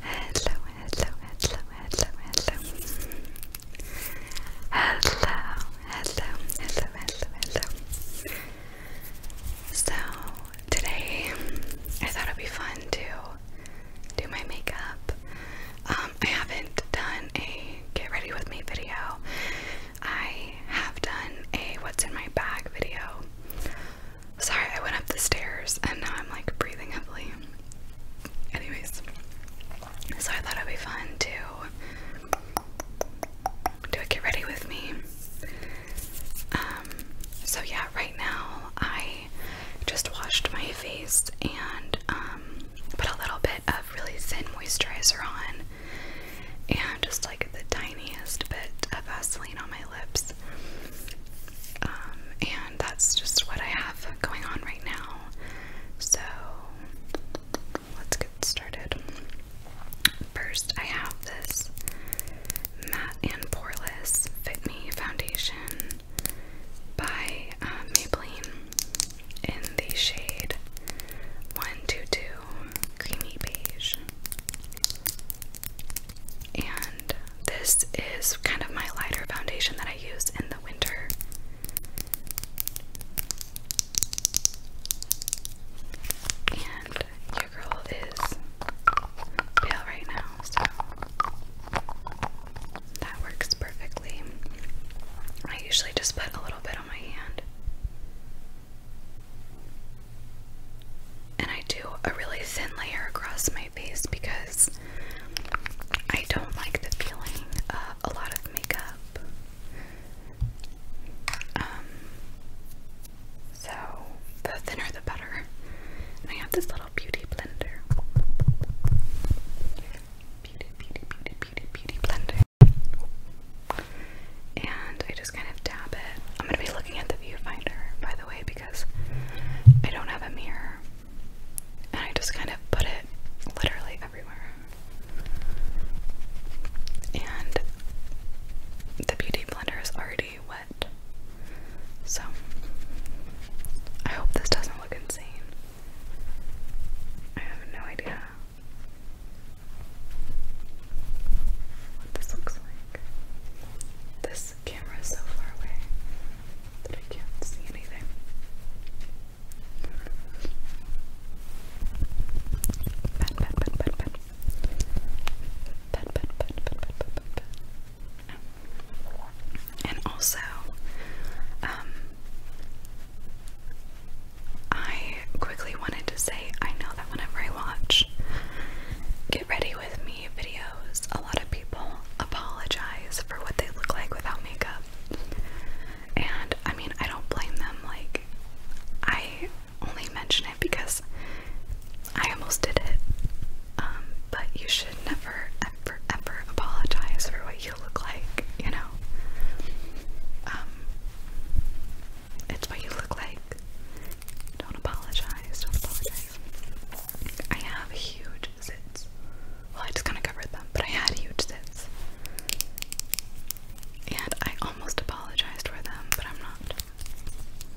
Hello, hello, hello, hello, hello. Hello, hello, hello, hello, hello. So, today I thought it'd be fun to do my makeup. Um, I haven't done a get ready with me video. I have done a what's in my bag video. Sorry, I went up the stairs and now I'm like breathing heavily. Anyways, so I thought it'd be fun to do get ready with me. Um, so yeah, right now I just washed my face and um, put a little bit of really thin moisturizer on and just like the tiniest bit of Vaseline on my lips um, and that's just what I have going on right now. So let's get started. First, I have this Matte and Poreless Fit Me Foundation by uh, Maybelline in the shade 122 Creamy Beige. And this is kind of my lighter foundation that I use in the winter. And your girl is pale right now, so that works perfectly. I usually just put a little bit on my hand and I do a really thin layer across my face because I don't like the feeling of a lot of makeup. Um, so the thinner the better. And I have this little beauty blender. Beauty, beauty, beauty, beauty, beauty blender and I just kind of tap it. I'm gonna be looking at the viewfinder, by the way, because I don't have a mirror, and I just kind of put it literally everywhere. And the beauty blender is already wet, so I hope this doesn't look insane. I have no idea what this looks like. This camera is so far away that I can't see anything. And also, um, I I quickly wanted to say I know that whenever I watch Get Ready With Me videos, a lot of people apologize for what they look like without makeup. And I mean, I don't blame them. Like, I only mention it because I almost did it. Um, but you should never, ever, ever apologize for what you look like, you know? Um, it's what you look like. Don't apologize. Don't apologize. I have huge zits. Well, I just kind of covered them, but I had huge zits. And I almost apologized for them, but I'm not.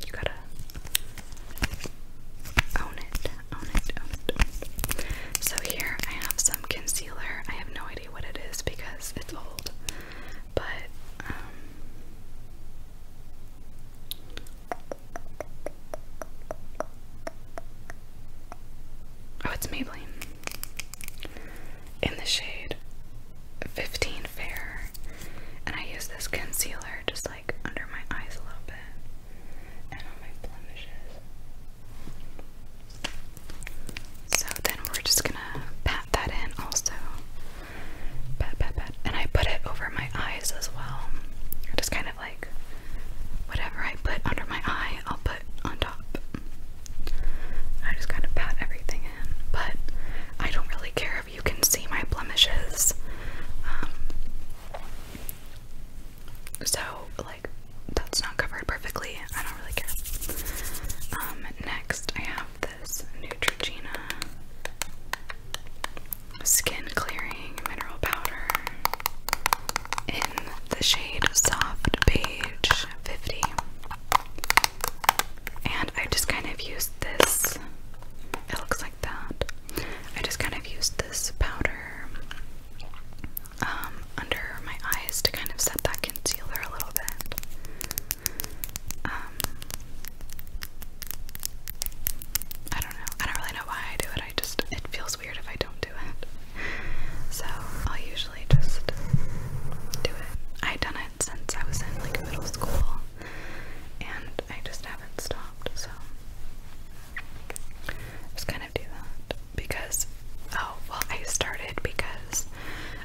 You gotta own it, own it, own it, So here I have some concealer. I have no idea what it is because it's old. But um, Oh, it's Maybelline. In the shade 15 Fair. And I use this concealer just like under my eyes a little bit and on my blemishes. So then we're just gonna pat that in also. Pat, pat, pat. And I put it over my eyes as well. Just kind of like whatever I put under my eye, I'll put on top. I just kind of pat everything in. But I don't really care if you can see my blemishes. Um, so, like, that's not covered perfectly I don't really care. Um, next I have this Neutrogena Skin Clearing Mineral Powder in the shade Soft Beige 50. And I just kind of used this, it looks like that. I just kind of used this powder um, under my eyes to kind of set that concealer a little bit. Um, I don't know. I don't really know why I do it. I just, it feels weird if I don't do it. So I'll usually just do it. I've done it since I was in like middle school and I just haven't stopped. So just kind of do that because oh well I started because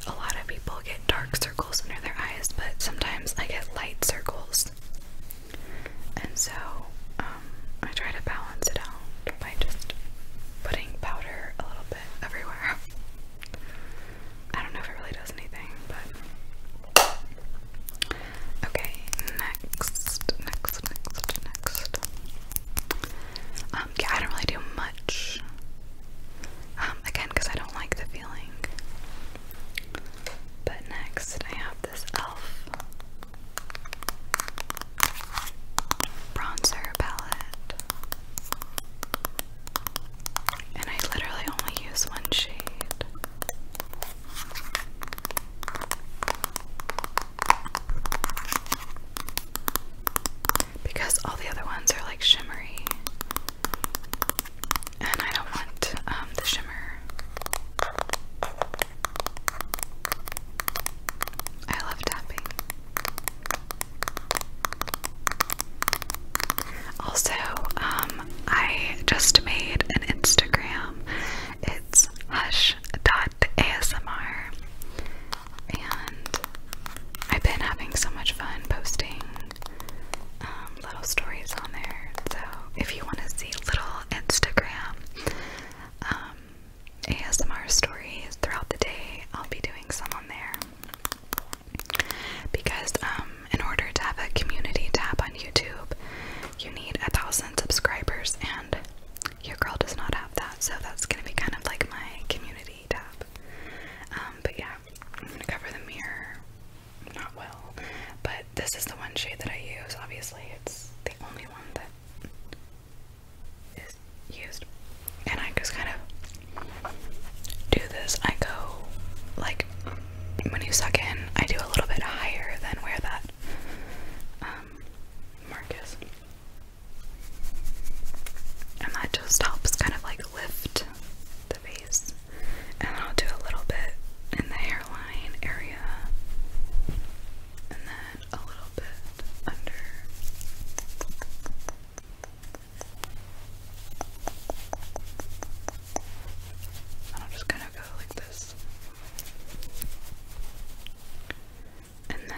a lot of people get dark circles under their eyes but sometimes I get light circles and so um, I try to balance it out by just putting powder a little bit everywhere I don't know if it really does anything but okay next next next next um, um, I don't really do much. Um, again, because I don't like the feeling. But next, I have this e.l.f. bronzer palette. And I literally only use one shade because all the other ones are like shimmery, and I don't want um, the shimmer. I love tapping. Also, um, I just made an Instagram. It's hush dot ASMR and I've been having so much fun posting um, little stories on there. So if you want to see little Instagram um, ASMR stories throughout the day, I'll be doing some on there. Because um, in order to have a community tab on YouTube, you need a thousand subscribers and your girl does not have that, so that's gonna be kind of like my community tab. Um, but yeah, I'm gonna cover the mirror not well, but this is the one shade that I use. Obviously, it's the only one that is used, and I just kind of do this. I go like when you suck in, I do a little bit higher than where that um, and that just helps kind of like lift the base, And I'll do a little bit in the hairline area. And then a little bit under. And I'll just kind of go like this and then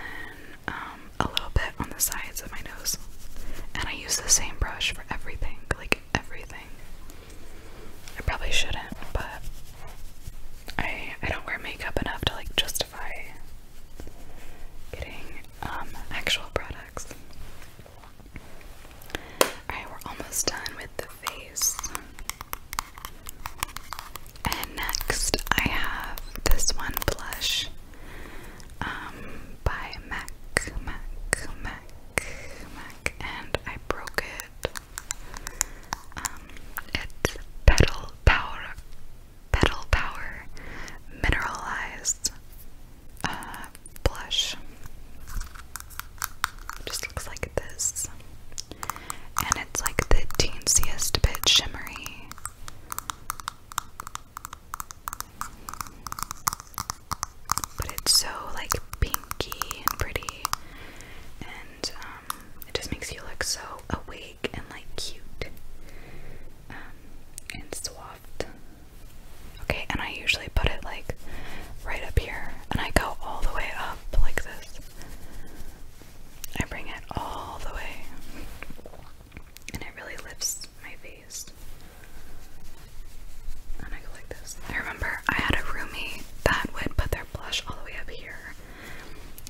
um, a little bit on the sides of my nose. And I use the same brush for everything, like everything. I probably shouldn't, but I I don't wear makeup enough to like justify getting um, actual products. Alright, we're almost done with the face. And next, I have this one blush um, by MAC, MAC, MAC, MAC, and I broke it. Um, it's Petal Power, Petal Power Mineralized uh, Blush. Just looks like this and it's like the teensiest bit shimmery. But it's so like pinky and pretty, and um, it just makes you look so awake and like cute um, and soft. Okay, and I usually put it like right up here, and I go all the way up like this. I bring it all the way and it really lifts my face. And I go like this. I remember I had a roomie that would put their blush all the way up here.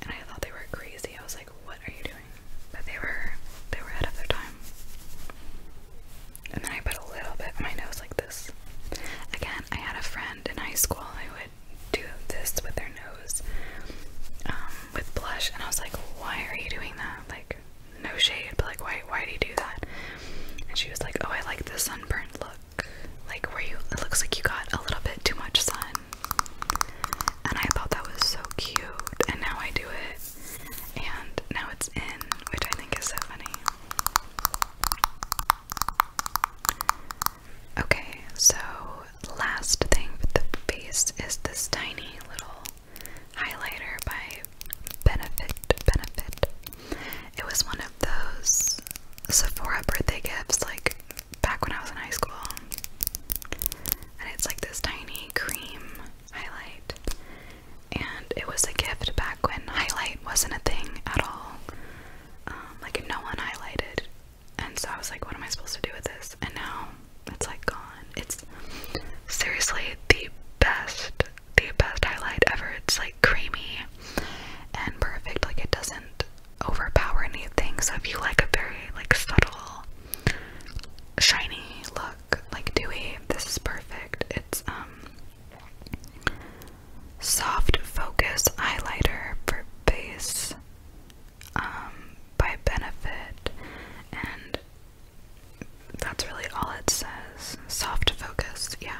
And I thought they were crazy. I was like, what are you doing? But they were they were ahead of their time. And then I put a little bit on my nose like this. Again, I had a friend in high school who do this with their nose um, with blush, and I was like, why are you doing that? Like, no shade, but like, why, why do you do that? And she was like, oh, I like the sunburned look, like where you, it looks like you got a little bit too much sun. And I thought that was so cute, and now I do it, and now it's in, which I think is so funny. Okay, so last thing with the face is this tiny little highlighter by Benefit Benefit. It was one of those Sephora birthday gifts like back when I was in high school. And it's like this tiny cream highlight. And it was a gift back when highlight wasn't a thing at all. Um, like no one highlighted. And so I was like, what am I supposed to do with this? And now it's like gone. It's seriously the best, the best highlight ever. It's like creamy and perfect. Like it doesn't overpower anything. So if you like a very like subtle, shiny look, like dewy, this is perfect. It's um Soft Focus Highlighter for Base um, by Benefit, and that's really all it says. Soft Focus, yeah.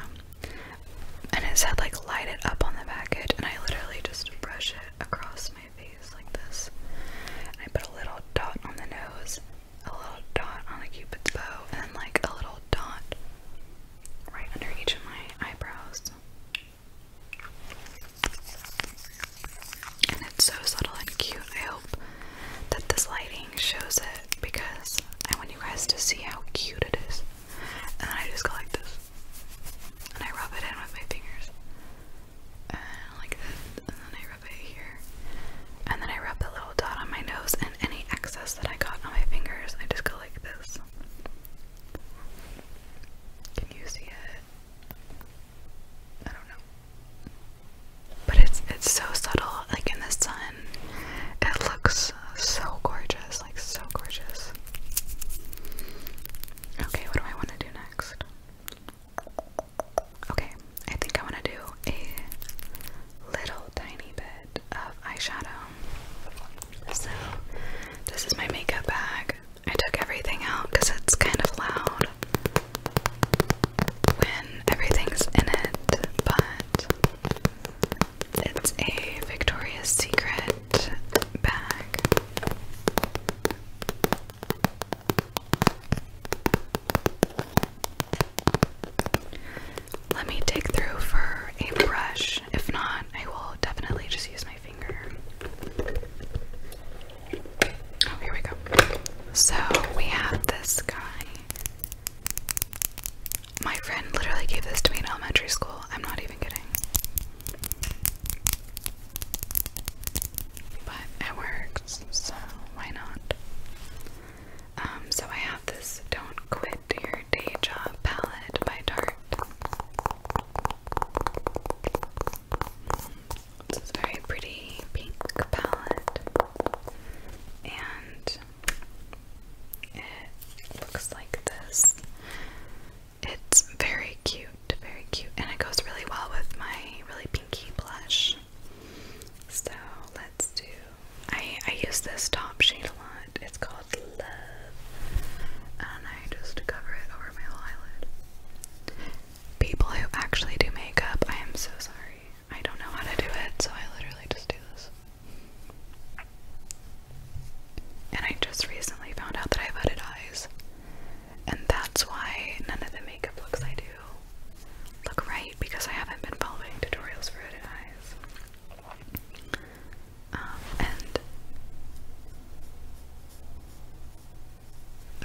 And it said, like, light it up on the package, and I literally just brush it across my face like this. And I put a little dot on the nose, a little dot on the cupid's bow, and like, a little dot right under each of my eyebrows. And it's so subtle and cute. I hope that this lighting shows it because I want you guys to see how cute it is. And I just go like this. And I rub it in with my fingers. And like this. And then I rub it here. And then I rub the little dot on my nose and any excess that I got on my fingers, I just go like this. Can you see it? I don't know. But it's it's so subtle, like in the sun. It looks so gorgeous, like so gorgeous. Okay, what do I want to do next? Okay, I think I want to do a little tiny bit of eyeshadow. So, this is my makeup bag. I took everything out because it's kind of loud when everything's in it, but it's a Victoria's Secret bag. Let me dig through for a brush. If not, I will definitely just use my finger. Oh, here we go. So we have this guy. My friend literally gave this to me in elementary school. I'm not even kidding. But it works, so why not? Um, so I have this Don't Quit Start Your Day Job Palette by Tarte. This is a very pretty pink palette, and it looks like this. It's very cute, very cute, and it goes really well with my really pinky blush. So let's do I I use this top shade a lot. It's called Love, and I just cover it over my whole eyelid. People who actually do makeup, I am so sorry. I don't know how to do it, so I literally just do this. And I just recently found out that I've hooded eyes, and that's why none of the makeup looks I do look right because I haven't been following tutorials for hooded um, and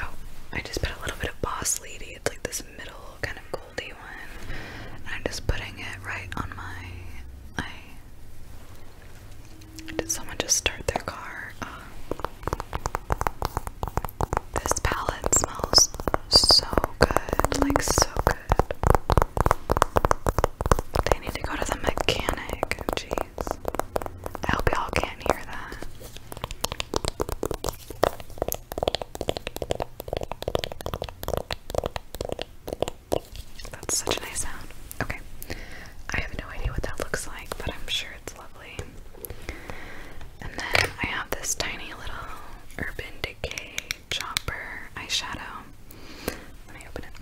oh, I just put a little bit of Boss Lady. It's like this middle kind of goldy one, and I'm just putting it right on my Did someone just start their car? Uh, this palette smells so good, like so good. They need to go to the mechanic. Jeez. I hope y'all can't hear that. That's such a nice sound. Okay. I have no idea what that looks like, but I'm sure it's lovely. And then I have this tiny little urban KKK Chopper eyeshadow. Let me open it.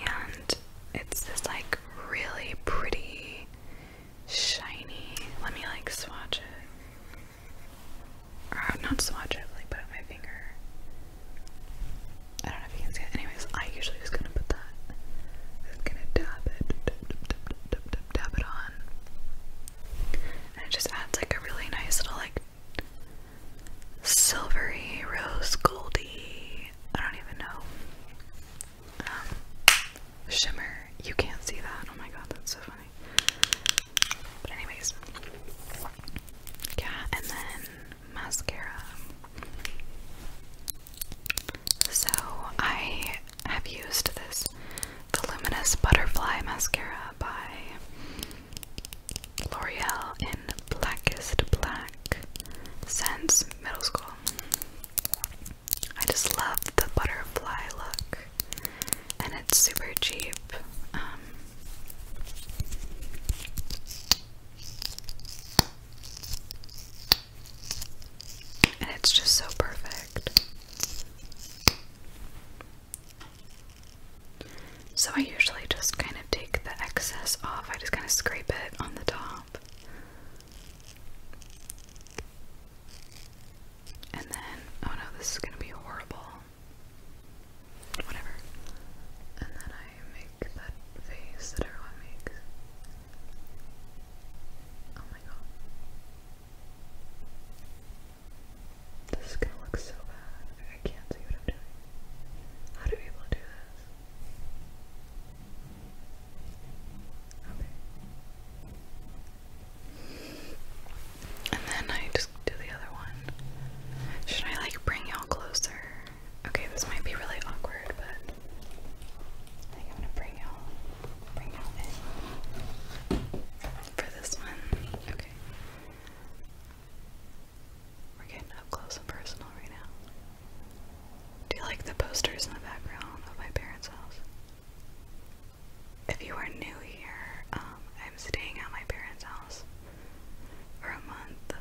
And it's this like really pretty shiny. Let me like swatch it. Or not swatch it, like put it my finger. I don't know if you can see it. Anyways, I usually just gonna put that. I'm gonna dab it, dab, dab, dab, dab, dab it on, and it just adds like a really nice little like silvery rose goldy. I don't even know. Um, shimmer. You can't see that. Oh my god, that's so funny. But anyways, yeah, and then mascara. So I have used this Voluminous Butterfly Mascara by L'Oreal in Blackest Black since middle school. I just love the butterfly look, and it's super cheap. Um, and it's just so perfect. So I usually just kind of take the excess off. I just kind of scrape it on the top. And then, oh no, this is going to be horrible. Whatever. And then make that face that everyone makes. Oh my god. This is gonna look so bad. I can't see what I'm doing. How do people do this? And then I just do the other one. Should I like bring y'all closer? Okay, this might be really awkward, but I am gonna bring y'all bring y'all in for this one. Okay. We're getting up close and personal right now. Do you like the posters in the background of my parents' house? If you are new here, um, I'm staying at my parents' house for a month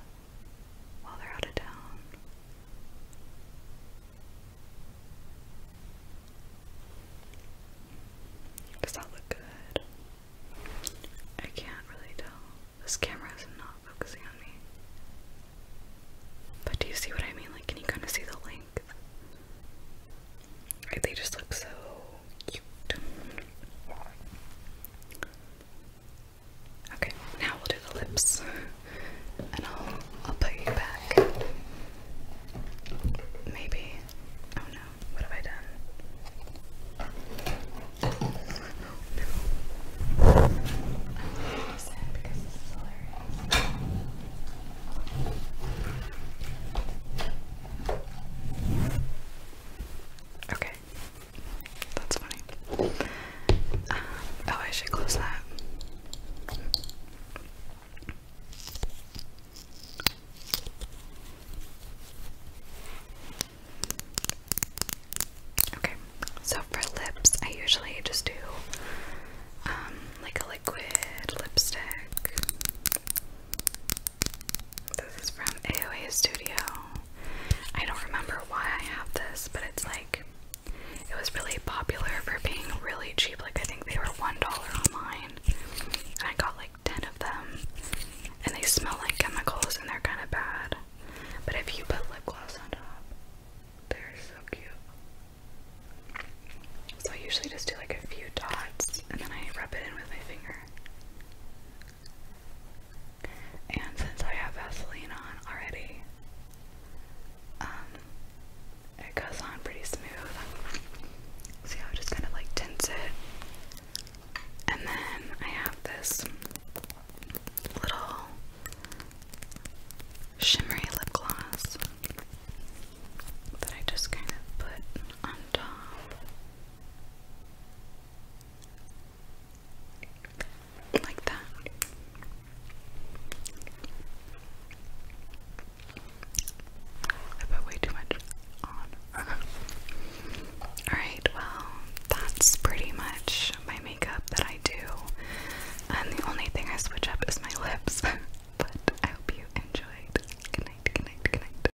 while they're out of town. Does that look good? I can't really tell. This camera is not focusing on me. But do you see what I mean? Like, can you kind of see the link? they just look so cute. Okay, now we'll do the lips, and I'll I'll put you back. Maybe. Oh no! What have I done? Okay, that's funny. Um, oh, I should close that. Okay, so for lips, I usually just do um, like a liquid lipstick. This is from AOA Studio. I don't remember why I have this, but it's like it was really popular for being really cheap. Like I think they were one dollar online, and I got like ten of them. And they smell like chemicals, and they're kind of bad. But if you put lip gloss on top, they're so cute. So I usually just do like a few dots, and then I rub it in with my finger. And since I have Vaseline on already, um, it goes on pretty smooth. See how just kind of like tints it. And then I have this little shimmery lip gloss that I just kind of put on top. Like that. I put way too much on. Alright, well, that's pretty much my makeup that I do. And the only thing I switch up is my lips. but I hope you enjoyed. Good night, good night, good night.